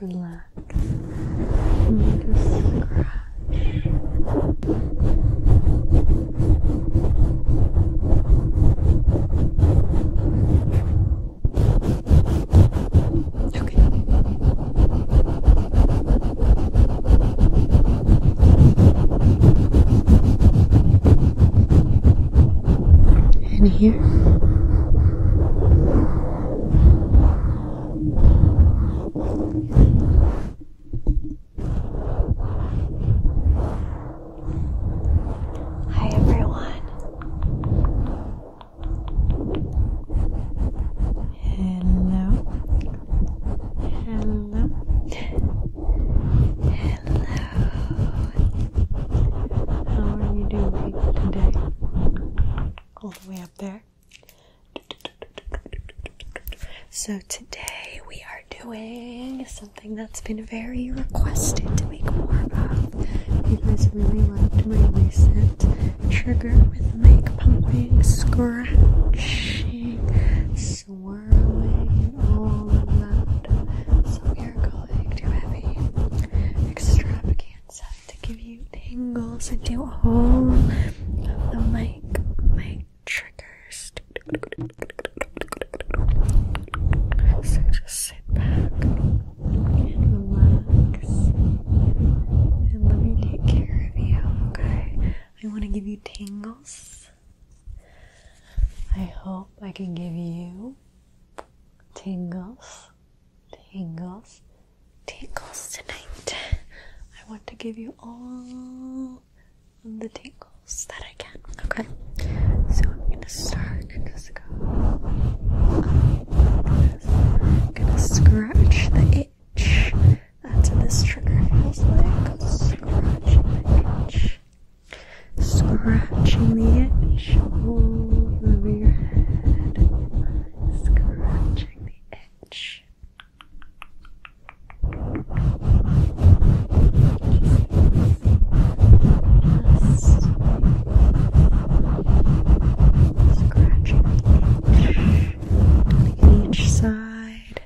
Relax. And just scratch. Okay. And here. Hi everyone. Hello. Hello. Hello. How are you doing today? all the way up there. So today we are doing something that's been very requested to make more of. You guys really loved my recent trigger with mic pumping, scratching, swirling, all of that. So we are going to have a extravaganza to give you tingles I do all of the mic mic triggers. So just sit back and relax and let me take care of you, okay? I want to give you tingles. I hope I can give you tingles tingles, tingles tonight. I want to give you all the tingles that I can. Okay, so I'm gonna start and I'm gonna scratch the itch. That's what this trigger feels like. Scratching the itch, scratching the itch shuffle over your head, scratching the edge. Just scratching each side.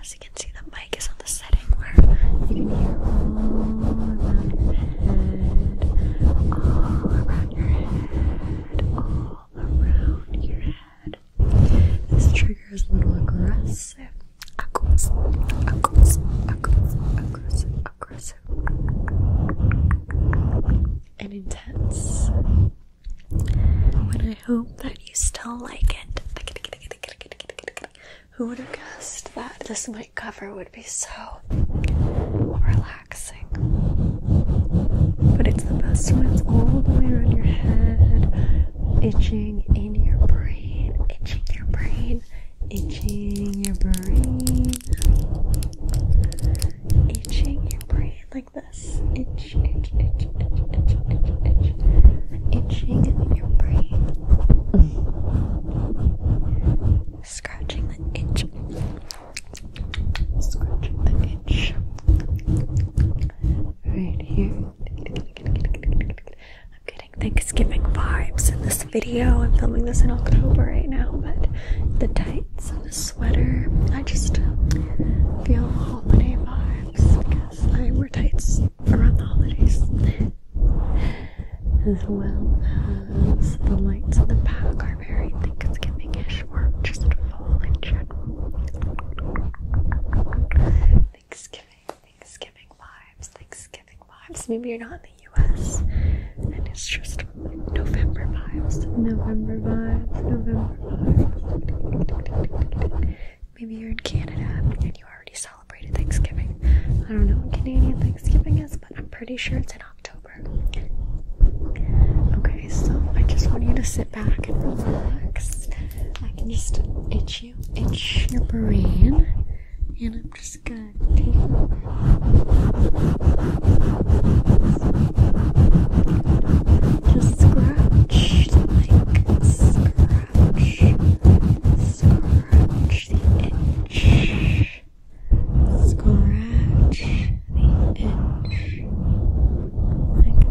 As you can see, the mic is on the setting where you can hear all around your head, all around. This trigger is a little aggressive. Aggressive, aggressive, aggressive, aggressive, And intense. But I hope that you still like it. Who would have guessed that this might? my cover would be so relaxing. But it's the best when it's all the way around your head, itching in your brain, itching your brain, itching your brain, itching your brain like this. Itch, itch, itch, itch, itch, itch, itch. Itching in your brain. Scratching the itch right here. I'm getting Thanksgiving vibes in this video. I'm filming this in October right now, but the tights and the sweater, I just feel holiday vibes because I wear tights around the holidays as well as the lights on the back are very Thanksgiving-ish or just fall in general. Thanksgiving, Thanksgiving vibes, Thanksgiving vibes. Maybe you're not in the US and it's just November vibes, November vibes, November vibes. Maybe you're in Canada and you already celebrated Thanksgiving. I don't know what Canadian Thanksgiving is, but I'm pretty sure it's in October. Okay, so I just want you to sit back and relax. I can just itch you, itch your brain, and I'm just gonna take just scratch, like scratch, scratch the itch. Scratch the edge like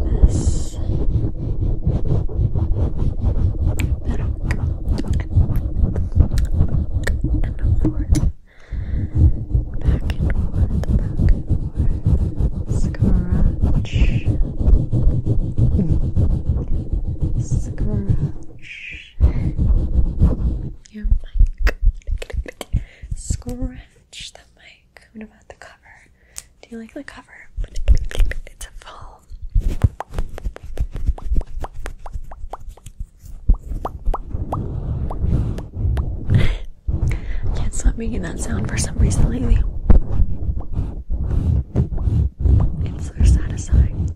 this. Better. And forth. Back and forth, back and forth. Scratch. Hmm. Scratch your mic. Scratch the mic. What about the cover? Do you like the cover? It's a full. I can't stop making that sound for some reason lately. It's so satisfying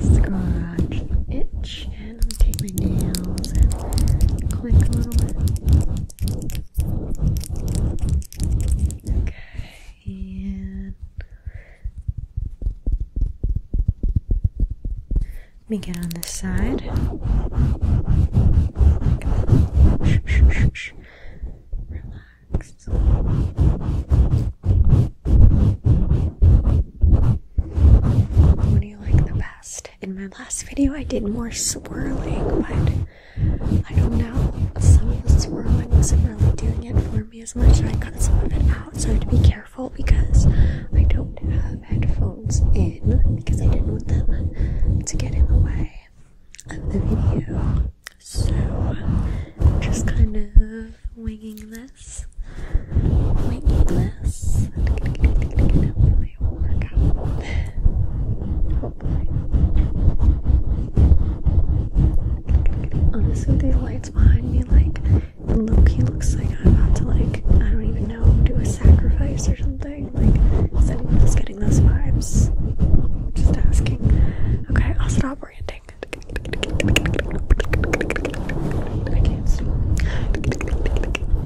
scratch itch, and I take my nails and click a little bit. Okay, and let me get on this side. Relax. What do you like the best? In my last video, I did more swirling, but I don't know. Some of the swirling wasn't really doing it for me as much, and I cut some of it out, so I have to be careful because I don't have headphones in because I didn't want them to get in the way of the video. So, just kind of winging this. Winging this. Honestly, the lights behind me, like, Loki, looks like I'm about to, like, I don't even know, do a sacrifice or something. Like, is anyone else getting those vibes? Just asking. Okay, I'll stop ranting. I can't see.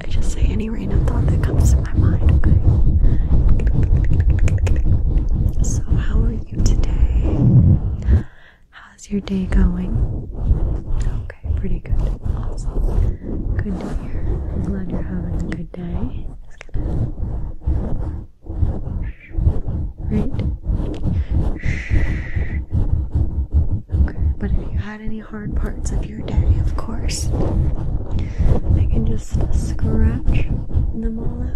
I just say any random thought that comes to my mind, okay? So, how are you today? How's your day going? Okay, pretty good. Awesome. Good to hear. I'm glad you're having a good day. Just gonna... Right? but if you had any hard parts of your day, of course, I can just scratch them all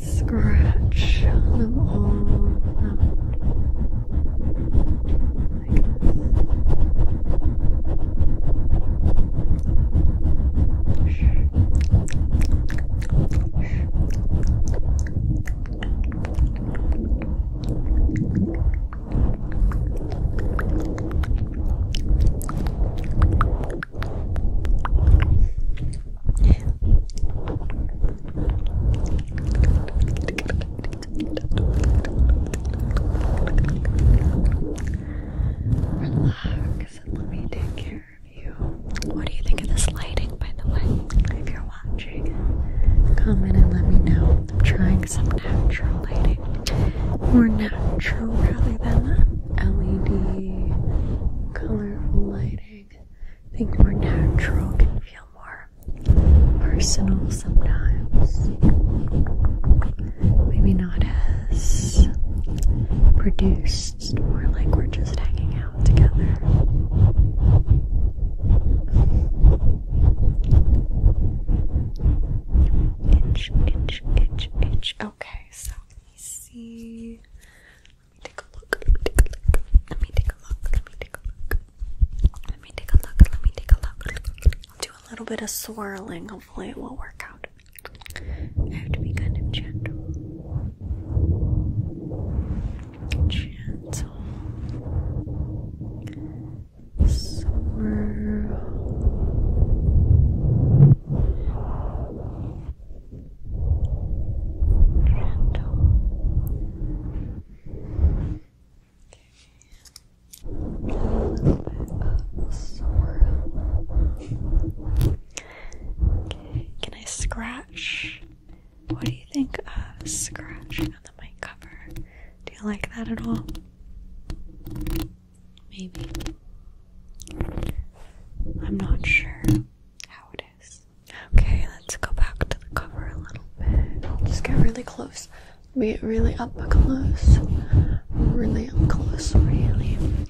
Scratch them all Relax and let me take care what do you think of this lighting, by the way? If you're watching, comment and let me know. I'm trying some natural lighting, more natural rather than LED colorful lighting. I think more natural can feel more personal sometimes. Maybe not as produced just more like we're just hanging out together. Itch, itch, itch, itch. Okay, so let me see. Let me take a look. Let me take a look. Let me take a look. Let me take a look. Let me take a look. I'll do a little bit of swirling. Hopefully, it will work out. I have to be kind of gentle. Gentle. Swirl. Gentle. Okay. A little can I scratch? What do you think of scratching on the mic cover? Do you like that at all? Maybe. I'm not sure how it is. Okay, let's go back to the cover a little bit. just get really close. Let get really up close. Really up close. Really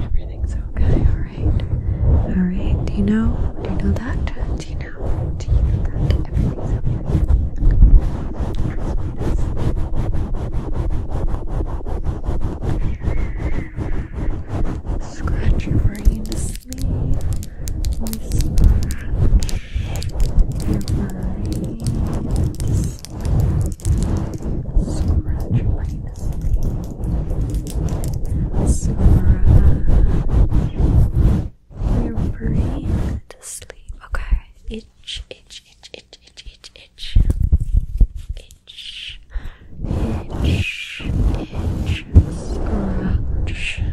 Everything's okay, alright. Alright, do you know? Do you know that? Do you know? Do you know that? Everything's okay. Alright, Scratch your brain to sleep. We scratch your brain to sleep. Scratch your brain to sleep. Scratch your brain to sleep. Okay. Itch, itch, itch, itch, itch, itch, itch, itch, itch, itch, scratch.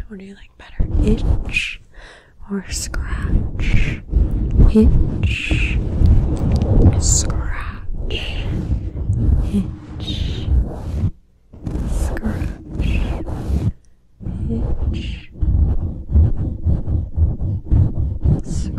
What do you like better, itch or scratch? Itch, scratch, itch, scratch, itch. Scratch,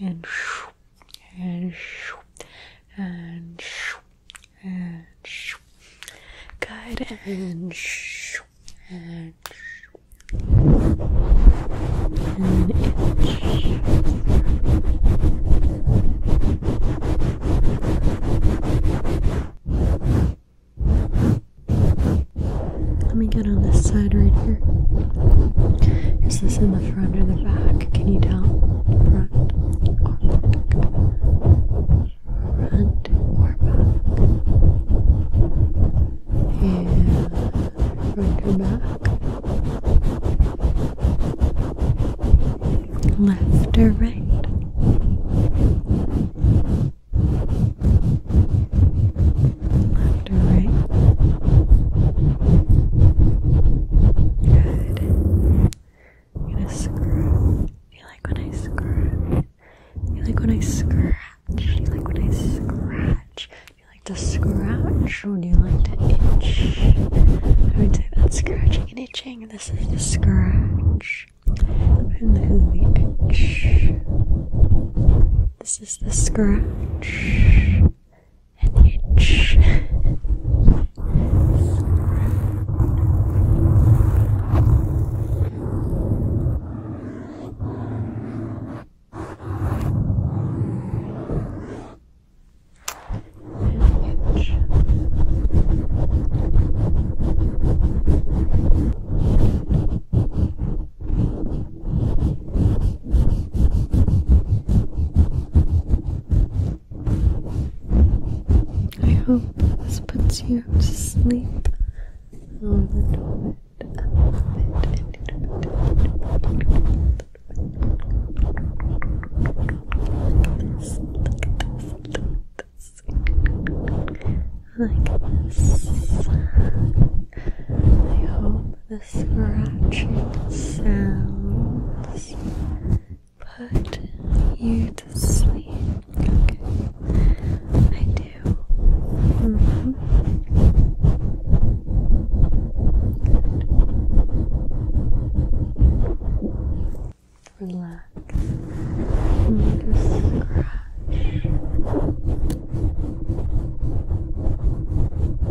and shoo, and shoo, and shoo, and shoo. Good and shoo, and shoo. And Let me get on this side right here. Is this in front or the back? Can you tell? Front or back? Front or back? Yeah, or back? Left or right? after, Good. You like when I scrub? You like when I scratch? You like when I scratch? You like to scratch or do you like to itch? I would say that's scratching and itching. This is the scratch. And the itch. This is the scratch an itch. An itch. I hope this puts you to sleep a little bit, this, look this. Like this. I hope the scratching sounds put you to sleep. I do. Relax. i scratch.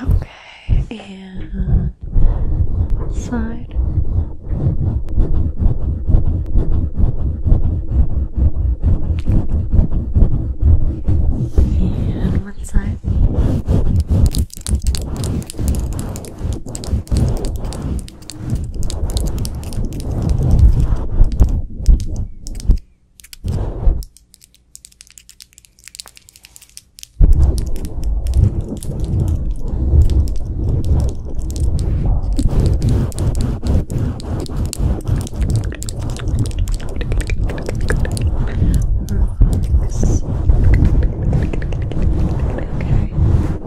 Okay, and one side. And one side. Okay,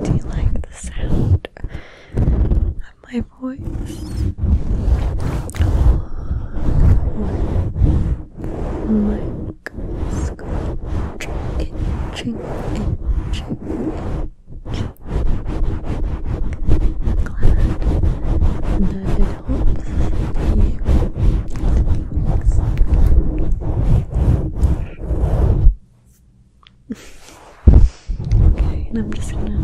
do you like the sound of my voice? Oh, my scratch, itching, itching, itching. Glad that it helps okay, and I'm just gonna.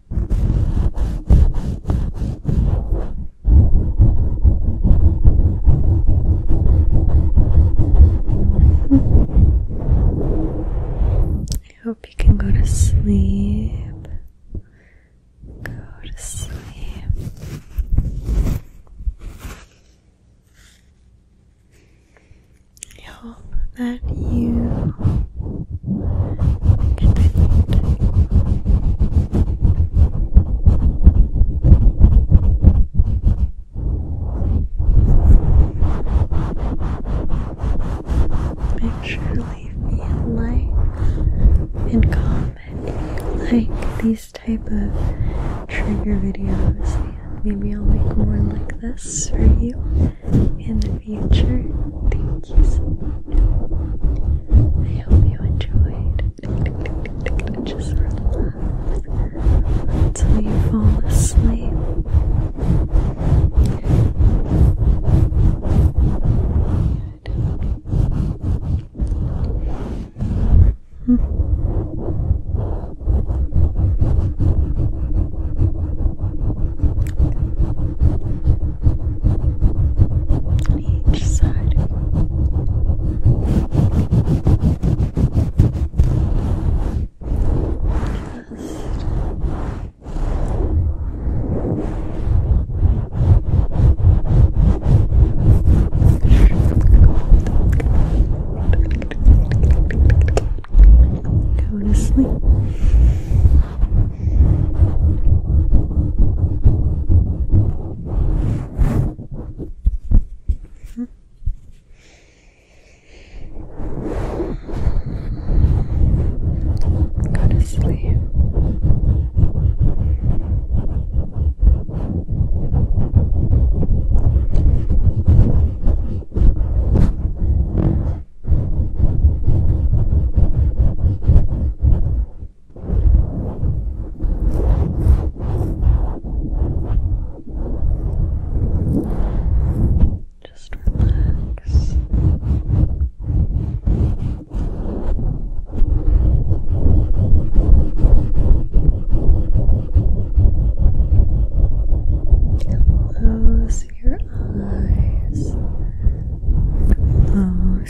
I hope you can go to sleep. Go to sleep. I hope that you Make sure to leave me a like and comment if you like these type of trigger videos maybe I'll make more like this for you in the future. Thank you so much. I hope you enjoyed. Just relax until you fall asleep. Good on each side. Just go to sleep. Go to sleep. Good just relax. Close your eyes. Close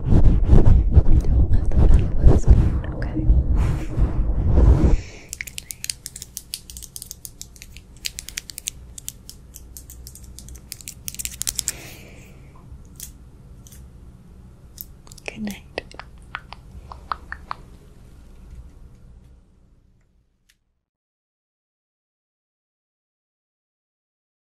Don't let the metal ones okay? Good night.